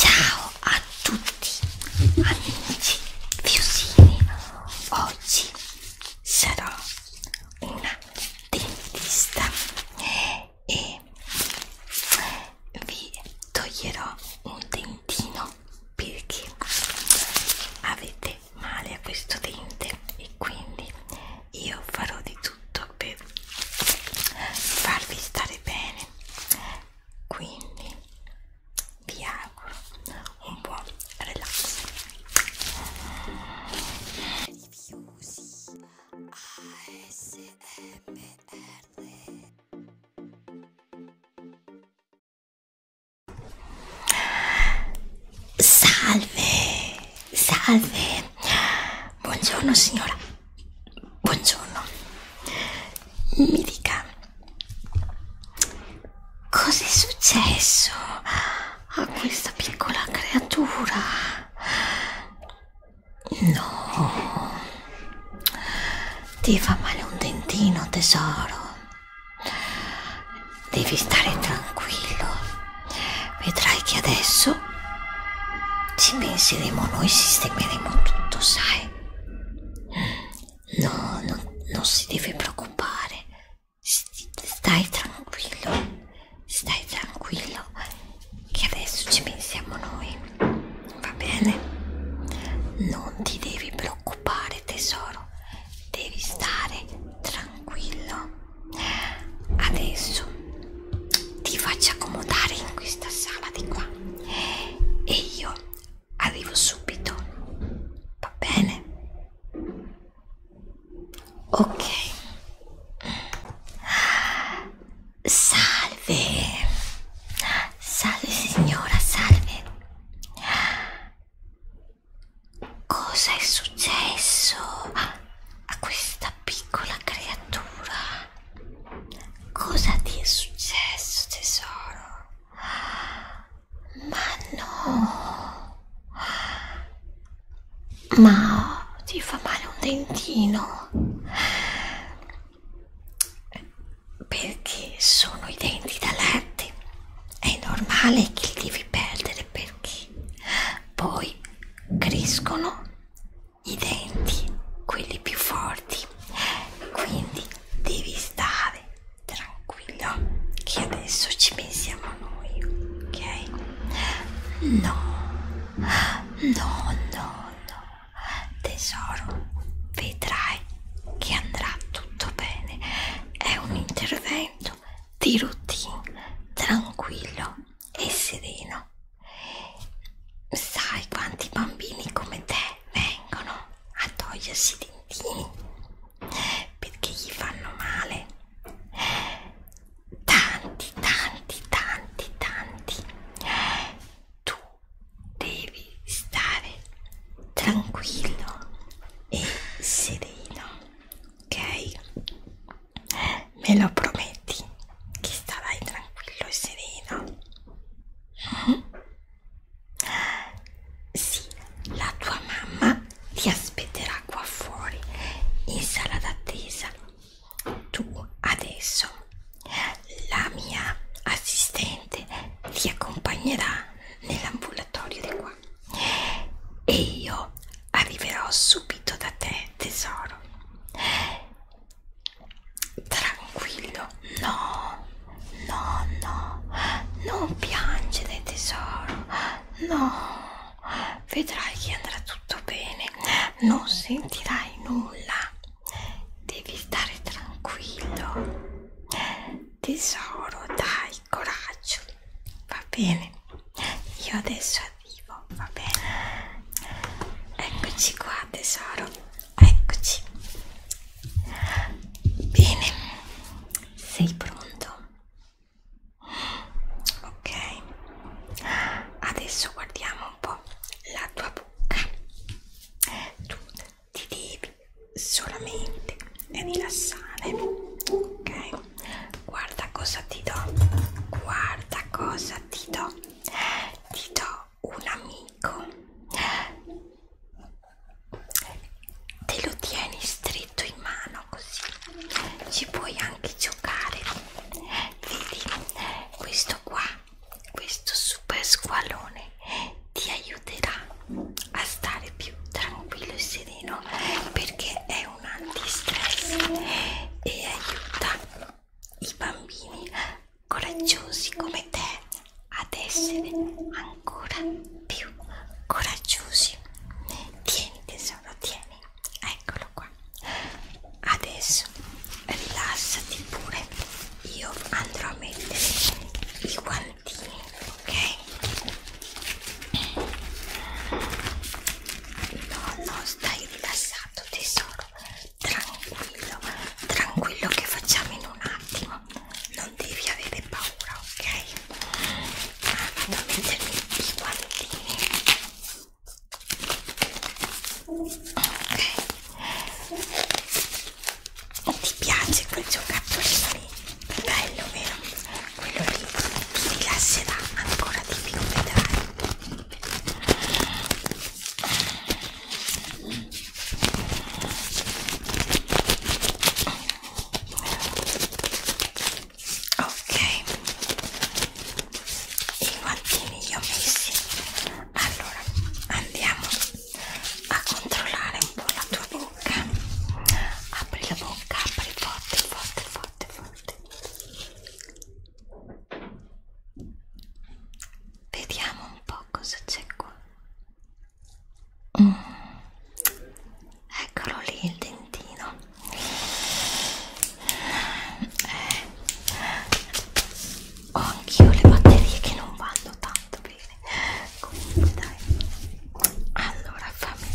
Ciao a tutti amici fiusini, oggi sarò una dentista e vi toglierò un dentino perché avete male a questo dente e quindi io farò di tutto TikTok per farvi stare bene quindi vi auguro un buon relax Salve, salve, buongiorno signora. Buongiorno, mi dica cos'è successo a questa piccola creatura? No, ti fa male un dentino, tesoro. Devi stare tranquillo. Vedrai che adesso ci penseremo noi, sistemeremo tutto, sai? No, no non si deve preoccupare. Stai tranquillo, stai tranquillo, che adesso ci pensiamo noi. Va bene? Non ti devi preoccupare, tesoro, devi stare tranquillo adesso ti faccio accomodare in questa sala di qua e io arrivo subito va bene ok salve salve signora salve cosa è successo a questa piccola creatura. Cosa ti è successo, tesoro? Ma no. Ma oh, ti fa male un dentino? Perché sono i denti da latte. È normale che li devi perdere perché poi crescono i denti, quelli più forti, quindi devi stare tranquillo che adesso ci pensiamo noi, ok? No, no, no, no, tesoro, vedrai che andrà tutto bene, è un intervento di routine tranquillo e sereno. Sai quanti bambini come te vengono a togliersi i dentini perché gli fanno male? Tanti, tanti, tanti, tanti. Tu devi stare tranquillo e sereno, ok? Me lo prometti? Che starai tranquillo e sereno? Sì, la tua mamma ti aspetterà qua fuori in sala d'attesa. Tu adesso la mia assistente ti accompagnerà nell'ambulatorio di qua e io arriverò subito da te, tesoro. Tranquillo, no, no, no, non piangere, tesoro, no. Vedrai che andrà tutto bene, non sentirai nulla. Devi stare tranquillo, tesoro. Dai, coraggio, va bene. Io adesso vivo, va bene? Eccoci qua tesoro, eccoci. Bene, sei pronto? Ok, adesso guardiamo un po' la tua bocca. Tu ti devi solamente rilassare, ok? do guarda cosa ti do guarda cosa ti do ti do un amico te lo tieni stretto in mano così ci puoi anche giocare vedi questo qua questo super squalone ti aiuterà a stare più tranquillo e sereno mascherino perché è un antistress e aiuta i bambini coraggiosi come te ad essere ancora più coraggiosi tieni tesoro tieni eccolo qua adesso rilassati pure io andrò a mettere i guantini ok? No, no, stai rilassato tesoro, tranquillo, tranquillo che facciamo in un attimo, non devi avere paura, ok? Ah, vado a mettermi i guantini. Ok. Ti piace quel giocattolino lì? bello vero? quello lì ti rilasserà ancora di più vedrai ok i guantini li ho messi allora andiamo a controllare un po' la tua bocca apri la bocca apri forte forte forte forte vediamo un po' cosa c'è qua mm. eccolo lì il dentino eh. ho anch'io le batterie che non vanno tanto bene comunque ecco, dai allora fammi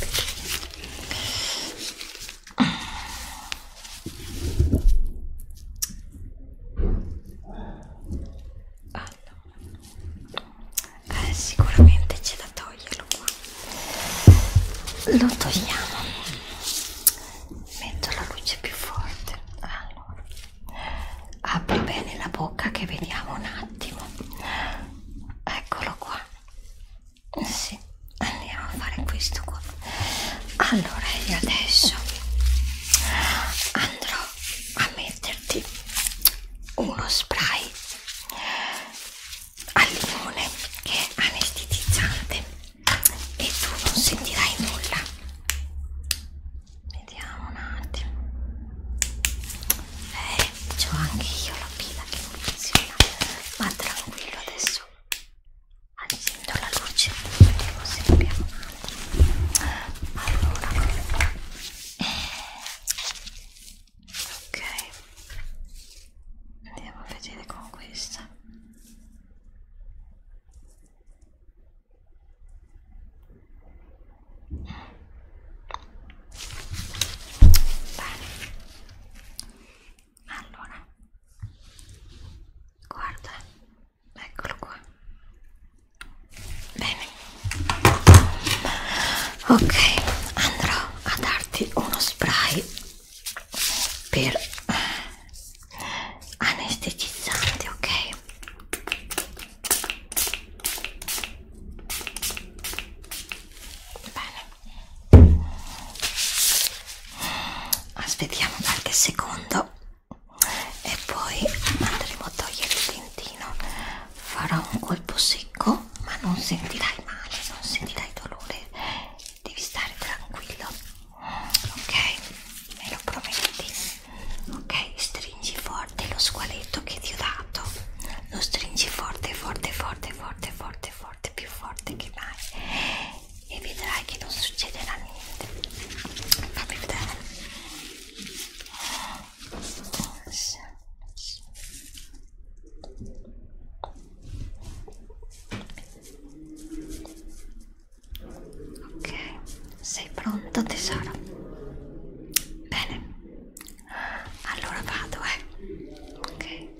vedere allora eh, sicuramente c'è da toglierlo qua lo togliamo metto la luce più forte allora apri bene la bocca che vediamo un attimo eccolo qua eh sì, andiamo a fare questo qua allora io adesso andrò a metterti uno spray al limone che è anestetizzante e tu non sentirai nulla vediamo un attimo eh, c'ho anche io la pila che non funziona ma tranquillo adesso accendo la luce vediamo se abbiamo allora eh, ok andiamo a vedere con questa Bene. Allora, guarda, eccolo qua. Bene. Ok, andrò a darti uno spray per anestetizzante, ok? Bene. Aspettiamo qualche secondo e poi andremo a togliere il dentino. Farò un colpo secco, ma non sentirai male, non sentirai dolore. Devi stare tranquillo. Ok? Me lo prometti? Ok? Stringi stringi forte lo squaletto che ti ho dato lo stringi forte forte forte forte forte forte più forte che mai e vedrai che non succederà niente fammi vedere sì. ok sei pronto tesoro bene allora vado eh ok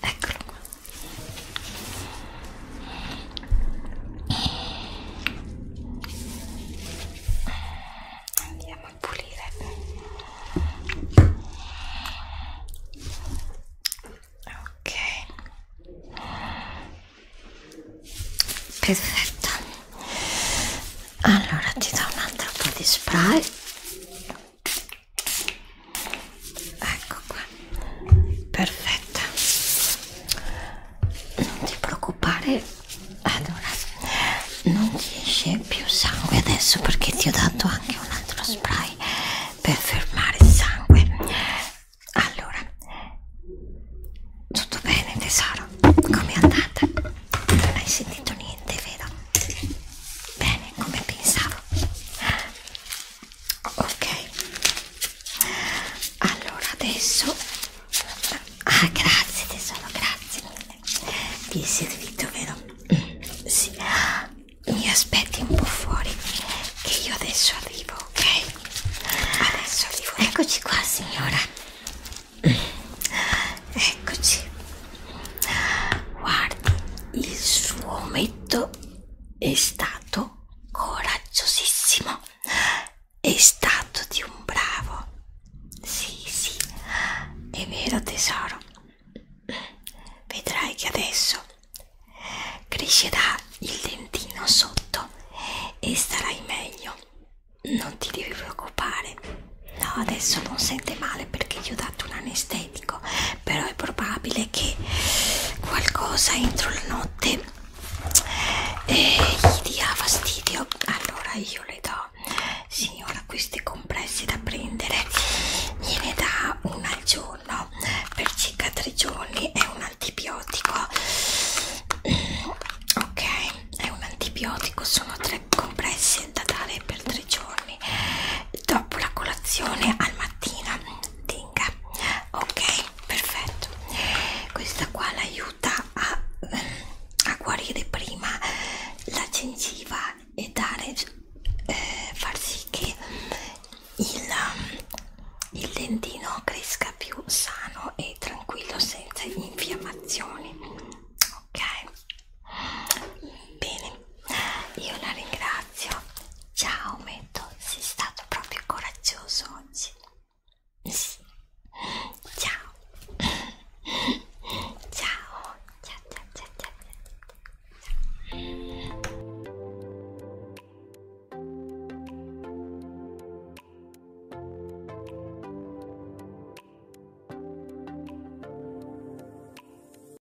Eccolo qua andiamo a pulire ok perfetto allora ti do un altro po' di spray ecco qua perfetta non ti preoccupare allora non ti esce più sangue adesso perché ti ho dato anche un altro spray per fermare il sangue allora tutto bene tesoro come è andata non hai sentito niente vero bene come pensavo ok allora adesso ah grazie tesoro grazie vi è servito vero? Mm, sì mi aspetti un po' fuori che io adesso arrivo ok? adesso arrivo eccoci qua signora eccoci guardi il suo ometto è stato coraggiosissimo, è stato di un bravo. Sì, sì, è vero tesoro. Vedrai che adesso crescerà il dentino sotto e starai meglio. Non ti devi preoccupare. No, adesso non sente male perché gli ho dato un anestesia medico però è probabile che qualcosa entro la notte eh, gli dia fastidio allora io le do signora questi compressi da prendere gliene dà una al giorno per circa tre giorni è un antibiotico mm, ok è un antibiotico sono tre compressi da dare per tre giorni dopo la colazione al mattino tinga ok perfetto questa qua l'aiuta a, eh, a guarire prima la gengiva e dare eh, far sì che il, um, il dentino cresca più sano e tranquillo senza infiammazioni ok bene io la ringrazio. Ciao Metto, sei stato proprio coraggioso oggi. Sì. Ciao. ciao. Ciao, ciao, ciao, ciao, ciao. ciao.